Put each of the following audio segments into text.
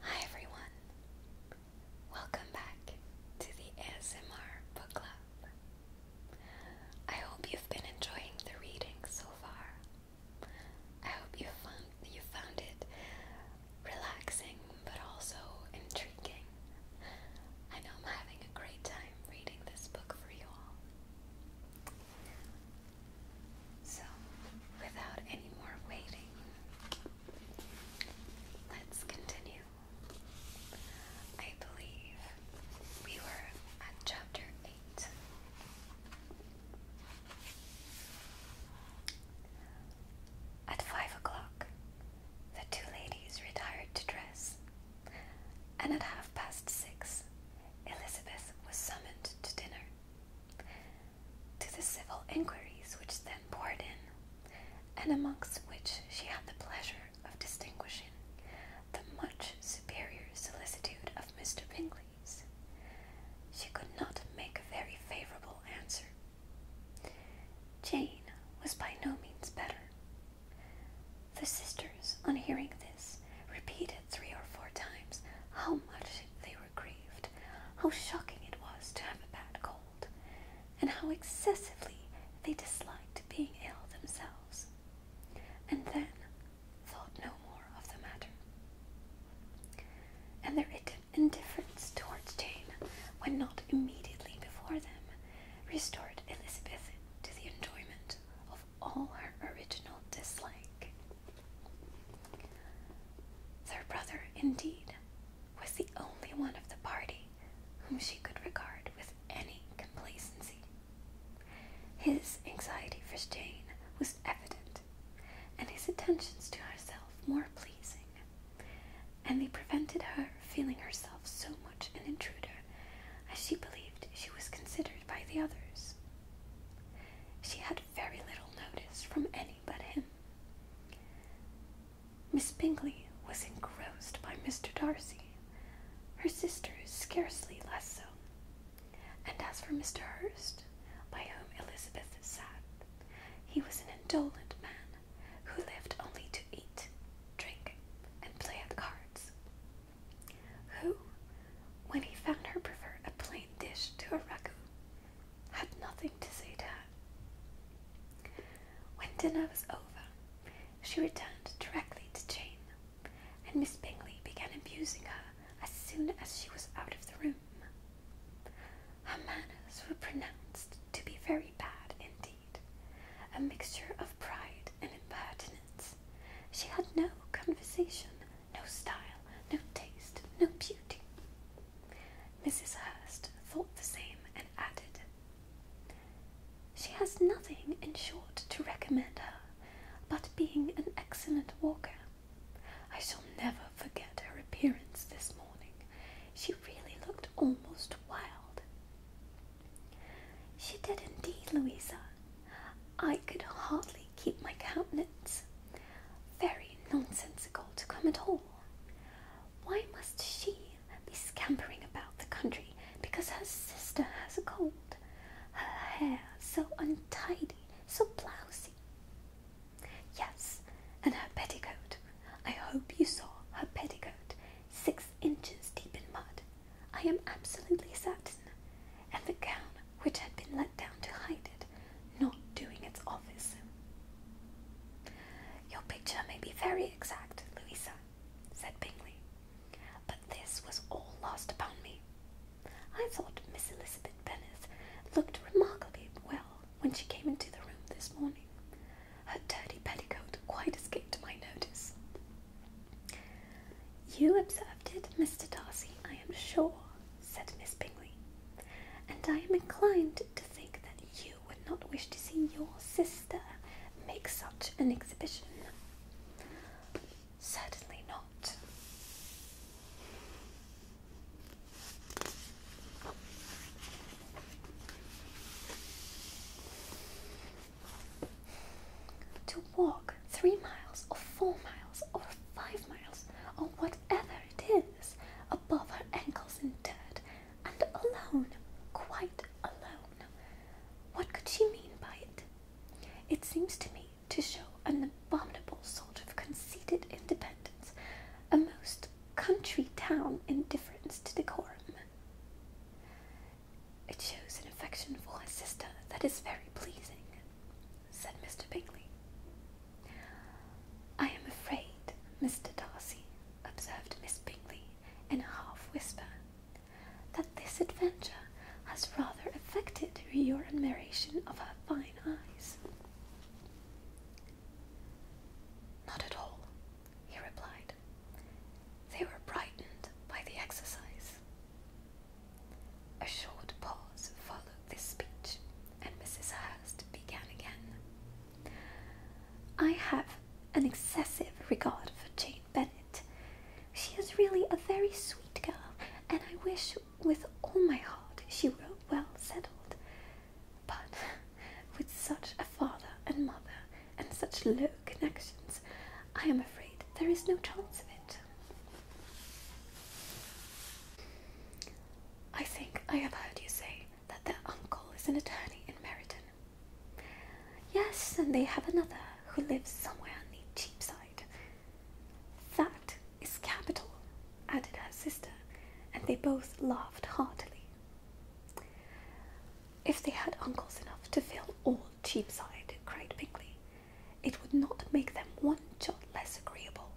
Hi everyone! Welcome back to the ASMR Book Club. I hope you've been enjoying the reading so far. I hope you found you found it relaxing but also intriguing. I know I'm having a great time reading this book for you all. So, without any more waiting, let's continue. I believe we were at chapter 8. At five o'clock, the two ladies retired to dress, and at half past six, Elizabeth was summoned to dinner to the civil inquiries which then poured in, and amongst which she had the pleasure of distinguishing the much superior solicitude of Mr. Bingley's. She could not make a very favourable answer. Jane was by no means better. The sisters, on hearing this, repeated three or four times how much they were grieved, how shocking it was to have a bad cold, and how excessively they disliked being ill themselves, and then thought no more of the matter. And their indifference towards Jane, when not immediately before them, restored Elizabeth to the enjoyment of all her original dislike. Their brother, indeed, was the only one of the party whom she could regard with any complacency. His anxiety for Jane was evident, and his attentions to herself more pleasing, and they prevented her feeling herself so much an intruder as she believed she was considered by the others. She had very little notice from any but him. Miss Bingley was engrossed by Mr. Darcy, her sister scarcely less so, and as for Mr. Hurst, by whom Elizabeth sat, he was an indolent man who lived only to eat, drink, and play at cards, who, when he found her prefer a plain dish to a ragout, had nothing to say to her. When dinner was over, she returned directly to Jane, and Miss Bingley began abusing her as soon as she was out of the room. Her manners were pronounced to be very bad indeed, a mixture of pride and impertinence. She had no conversation no style, no taste, no beauty. Mrs. Hurst thought the same and added, She has nothing, in short, to recommend her but being an excellent walker. I shall never forget her appearance this morning. She really looked almost wild. She did indeed, Louisa. I could hardly keep my countenance. Very nonsensical to come at all. Why must she be scampering about the country because her sister has a cold? Her hair so untidy, so blousy. Yes, and her petticoat. I hope you saw her petticoat, six inches deep in mud. I am absolutely certain and the gown which had been let down to hide it, not doing its office. Your picture may be very exact, Louisa, said Bingley, but this was all lost upon me. I thought Miss Elizabeth Bennet looked remarkably well when she came into the room this morning. Her dirty petticoat quite escaped my notice. You observed it, Mr. Darcy, I am sure, said Miss Bingley, and I am inclined to think that you would not wish to see your sister make such an exhibition. Certainly not. To walk three miles or four miles or five miles or whatever it is above her ankles in dirt and alone, quite alone. What could she mean by it? It seems to me to show an abominable sort of conceited independence, a most country town indifference to decorum. It shows an affection for her sister that is very pleasing said Mr. Bingley. I am afraid, Mr. Darcy, observed Miss Bingley in a half whisper, that this adventure has rather affected your admiration of her fine eyes. Not at all, he replied. They were brightened by the exercise. A short pause followed this speech, and Mrs. Hurst began again. I have an excessive regard for Jane Bennet. She is really a very sweet girl, and I wish with all my heart she were well settled. But with such a father and mother and such low connections, I am afraid there is no chance of it. I think I have heard you say that their uncle is an attorney in Meryton. Yes, and they have another who lives somewhere on the Cheapside. That is capital, added her sister, and they both laughed heartily. If they had uncles enough to fill all Cheapside, cried Bingley, it would not make them one jot less agreeable.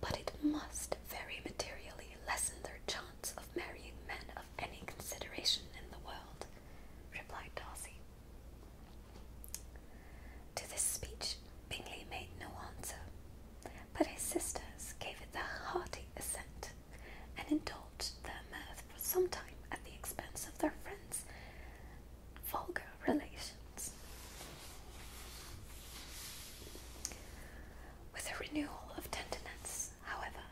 But it must very materially lessen their chance of marrying men of any consideration in the world, replied Darcy. To this speech, Bingley made no answer, but his sisters gave it their hearty assent and indulged their mirth for some time at the expense of their friends vulgar relations. With a renewal of tenderness, however,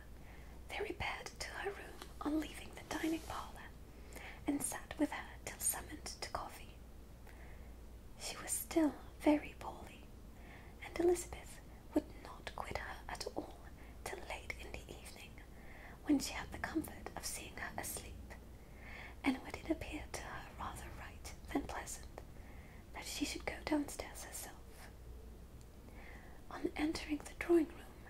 they repaired to her room on leaving the dining parlour and sat with her till summoned to coffee. She was still very poorly, and Elizabeth would not quit her at all till late in the evening when she had the comfort of seeing her asleep, and when it appeared to her rather right than pleasant that she should go downstairs herself. On entering the drawing room,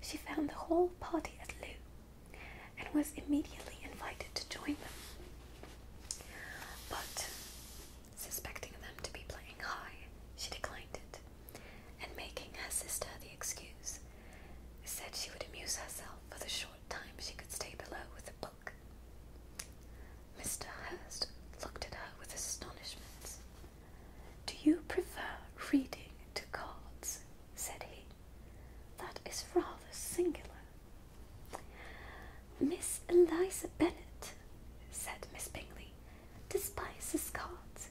she found the whole party at loo, and was immediately invited to join them. But, suspecting them to be playing high, she declined it and making her sister the excuse, said she would amuse herself for the short time she could stay below with a book. Mr. Hurst looked at her with astonishment. Do you prefer reading to cards? said he. That is rather singular. Miss Eliza Bennet, said Miss Bingley, despises cards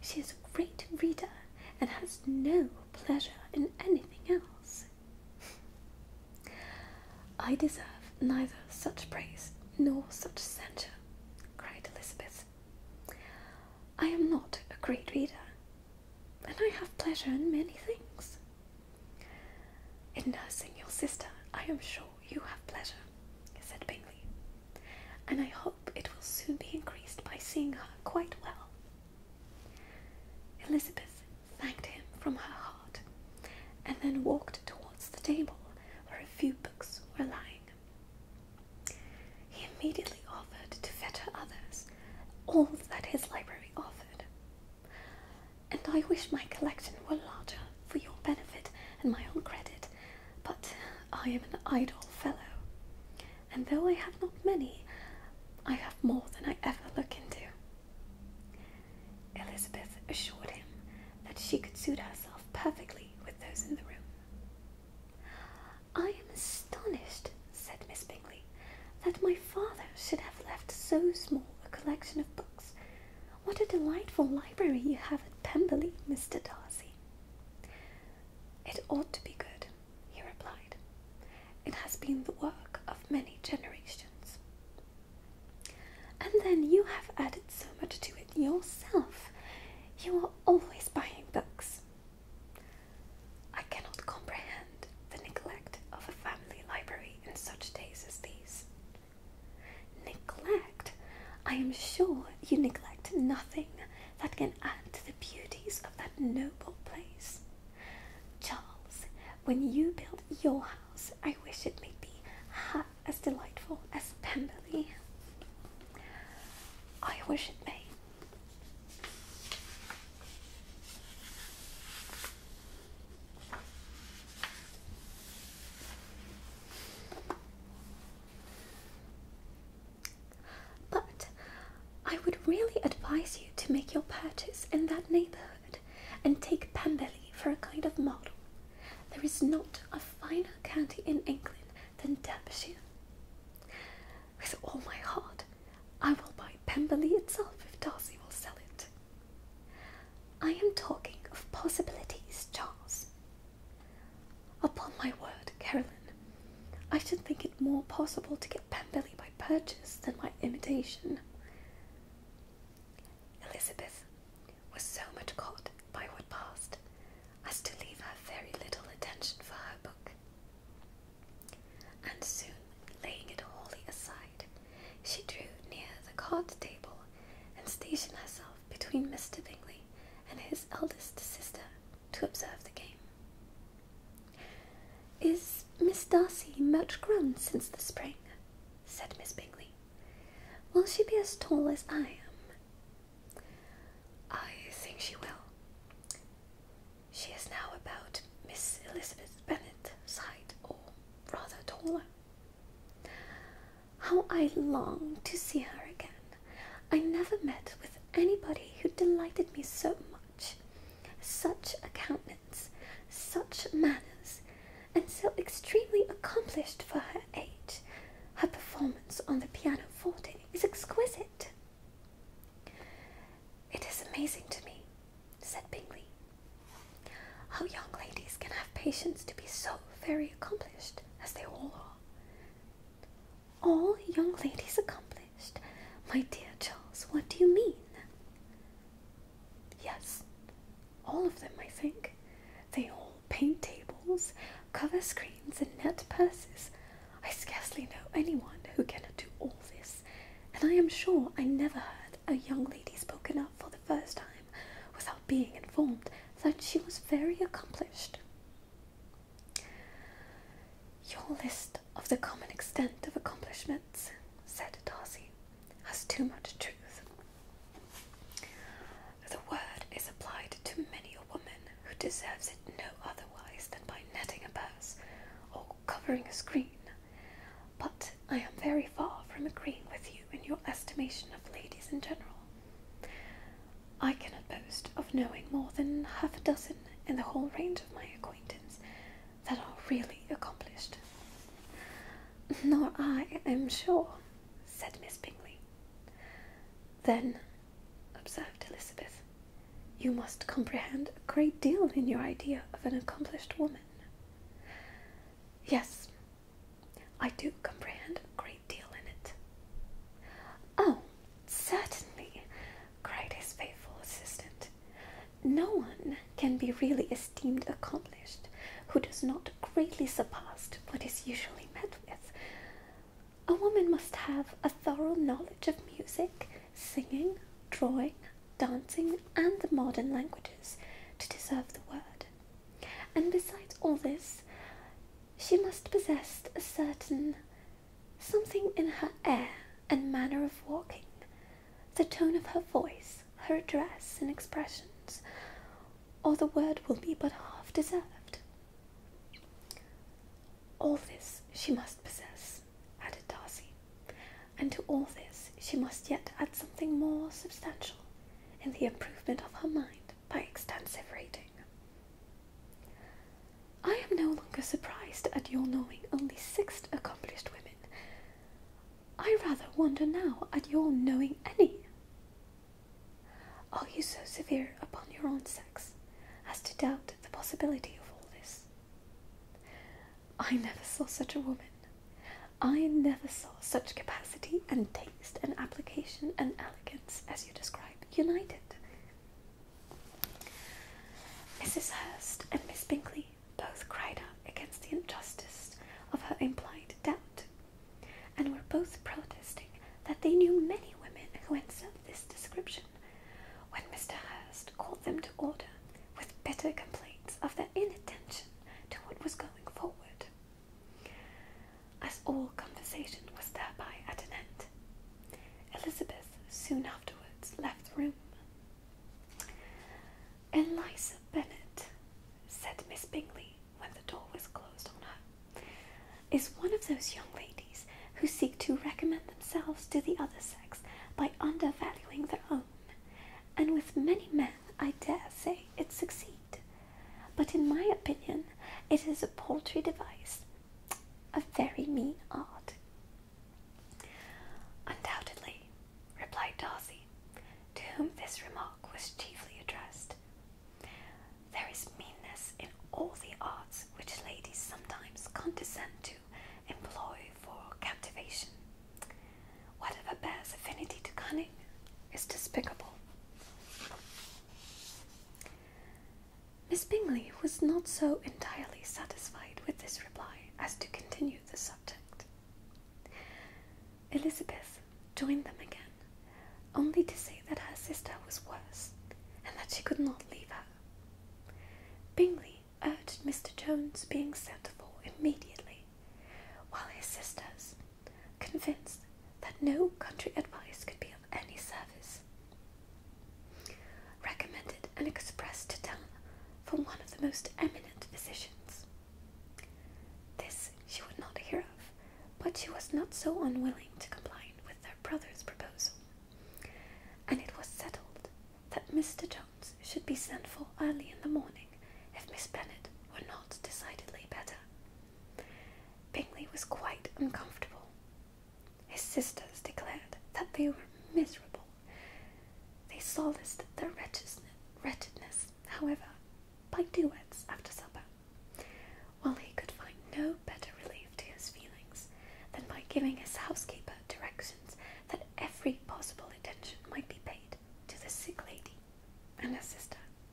she is a great reader and has no pleasure in anything else. I deserve neither such praise nor such censure, cried Elizabeth. I am not a great reader, and I have pleasure in many things. In nursing your sister, I am sure you have pleasure, said Bingley and I hope it will soon be increased by seeing her quite well. Elizabeth thanked him from her heart and then walked towards the table where a few books were lying. He immediately offered to fetter others, all that his library offered. And I wish my collection were larger for your benefit and my own credit, but I am an idle fellow, and though I have not many, I have more than I ever look into. Elizabeth assured him that she could suit herself perfectly with those in the room. I am astonished, said Miss Bingley, that my father should have left so small a collection of books. What a delightful library you have at Pemberley, Mr. Darcy. It ought to be good, he replied. It has been the work of many generations. And then you have added so much to it yourself. You are always buying books. I cannot comprehend the neglect of a family library in such days as these. Neglect? I am sure you neglect nothing that can add to the beauties of that noble place. Charles, when you build your house, I wish it may be half as delightful as Pemberley. I wish it may. But I would really advise you to make your purchase in that neighbourhood and take Pemberley for a kind of model. There is not a finer county in England than Derbyshire. With all my heart, I will buy Pemberley itself if Darcy will sell it. I am talking of possibilities, Charles, Upon my word, Caroline, I should think it more possible to get Pemberley by purchase than by imitation. Elizabeth was so much caught by what passed as to leave her very little attention for her book. And soon, laying it wholly aside, she drew near the card table and stationed herself between Mr. Bingley and his eldest sister to observe the game. Is Miss Darcy much grown since the spring? said Miss Bingley. Will she be as tall as I am? I think she will. She is now about Miss Elizabeth Bennet's height, or rather taller. How I long to see her again, I never met with anybody who delighted me so much. Such a countenance, such manners, and so extremely accomplished for her age. Her performance on the pianoforte is exquisite. It is amazing to me, said Bingley, how young ladies can have patience to be so very accomplished as they all are. All young ladies accomplished. My dear Charles, what do you mean? Yes, all of them, I think. They all paint tables, cover screens, and net purses. I scarcely know anyone who cannot do all this, and I am sure I never heard a young lady spoken of for the first time without being informed that she was very accomplished. Your list of the common extent of accomplishments, said Darcy, has too much truth. The word is applied to many a woman who deserves it no otherwise than by netting a purse or covering a screen. But I am very far from agreeing with you in your estimation of ladies in general. I cannot boast of knowing more than half a dozen in the whole range of my acquaintance that are really accomplished. Nor I, am sure, said Miss Bingley. Then, observed Elizabeth, you must comprehend a great deal in your idea of an accomplished woman. Yes, I do comprehend great deal in it. Oh, certainly, cried his faithful assistant. No one can be really esteemed accomplished who does not greatly surpass what is usually met with. A woman must have a thorough knowledge of music, singing, drawing, dancing, and the modern languages to deserve the word. And besides all this, she must possess a certain something in her air and manner of walking, the tone of her voice, her address and expressions, or the word will be but half deserved. All this she must possess, added Darcy, and to all this she must yet add something more substantial in the improvement of her mind by extensive reading. I am no longer surprised at your knowing only six accomplished women. I rather wonder now at your knowing any. Are you so severe upon your own sex as to doubt the possibility of all this? I never saw such a woman. I never saw such capacity and taste and application and elegance as you describe united. Mrs. Hurst and Miss Bingley both cried out against the injustice of her implied doubt, and were both protesting that they knew many women who answered this description, when Mr. Hurst called them to order with bitter complaints of their inattention to what was going forward. As all conversation was thereby at an end, Elizabeth soon afterwards left the room. Eliza Bennet, said Miss Bingley when the door was closed on her, is one of those young ladies who seek to recommend themselves to the other sex by undervaluing their own, and with many men, I dare say, it succeeds. But in my opinion, it is a paltry device, a very mean art. Undoubtedly, replied Darcy, to whom this remark was chiefly addressed. There is meanness in all the arts which ladies sometimes condescend to employ for captivation. Whatever bears affinity to cunning is despicable. Miss Bingley was not so entirely satisfied with this reply as to continue the subject. Elizabeth joined them again, only to say that her sister was worse and that she could not leave her. Bingley urged Mr. Jones being sent for immediately, while his sisters convinced that no country advice could be of any service. Recommended and expressed to town from one of the most eminent physicians. This she would not hear of, but she was not so unwilling to comply with their brother's proposal, and it was settled that Mr. Jones should be sent for early in the morning if Miss Bennet were not decidedly better. Bingley was quite uncomfortable. His sisters declared that they were miserable. They solaced their wretchedness, however, by duets after supper, while he could find no better relief to his feelings than by giving his housekeeper directions that every possible attention might be paid to the sick lady and her sister.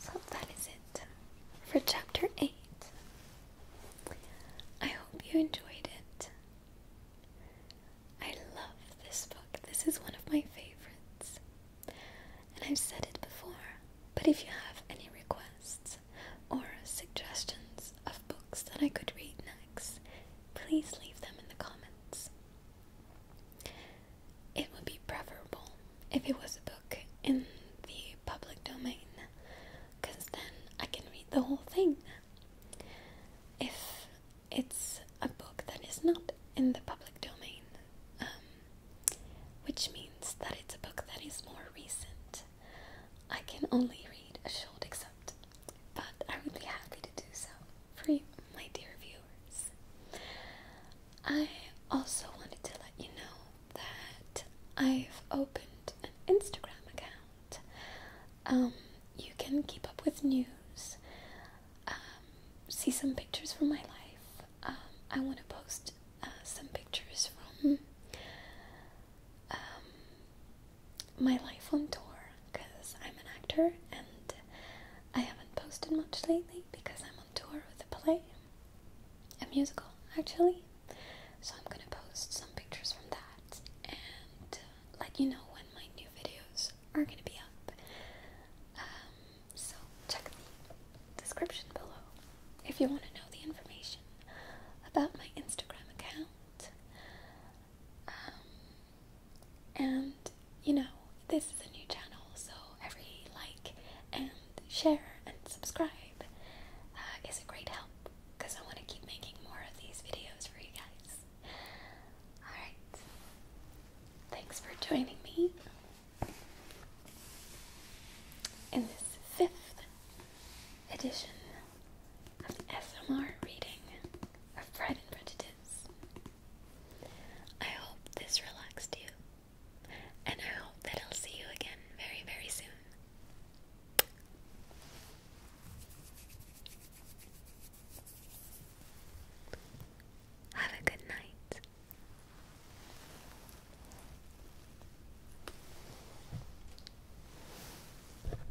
So that is it for chapter 8. I hope you enjoyed it. I love this book. This is one of my favorites. And I've said it before, but if you have any requests or suggestions of books that I could read next, please leave them in the comments. It would be preferable if it was a book in the public domain, because then I can read the whole thing. If it's a book that is not in the public domain, um, which means that it's a book that is more recent, I can only read a short excerpt but I would be happy to do so for you, my dear viewers. I also wanted to let you know that I've opened an Instagram account. Um, you can keep up with news, um, see some pictures from my life. Um, I want to post uh, some pictures from um, my life on tour because I'm an actor and I haven't posted much lately because I'm on tour with a play, a musical actually. So I'm gonna post some pictures from that and let you know when my new videos are gonna be up. Um, so check the description below if you want to know the information about my Instagram account. Um, and you know, this is a new channel, so every like and share and subscribe uh, is a great help because I want to keep making more of these videos for you guys. Alright, thanks for joining me in this fifth edition of SMR reading of Pride and Prejudice. I hope this relaxed you, and I hope that I'll see you again very, very soon. Have a good night.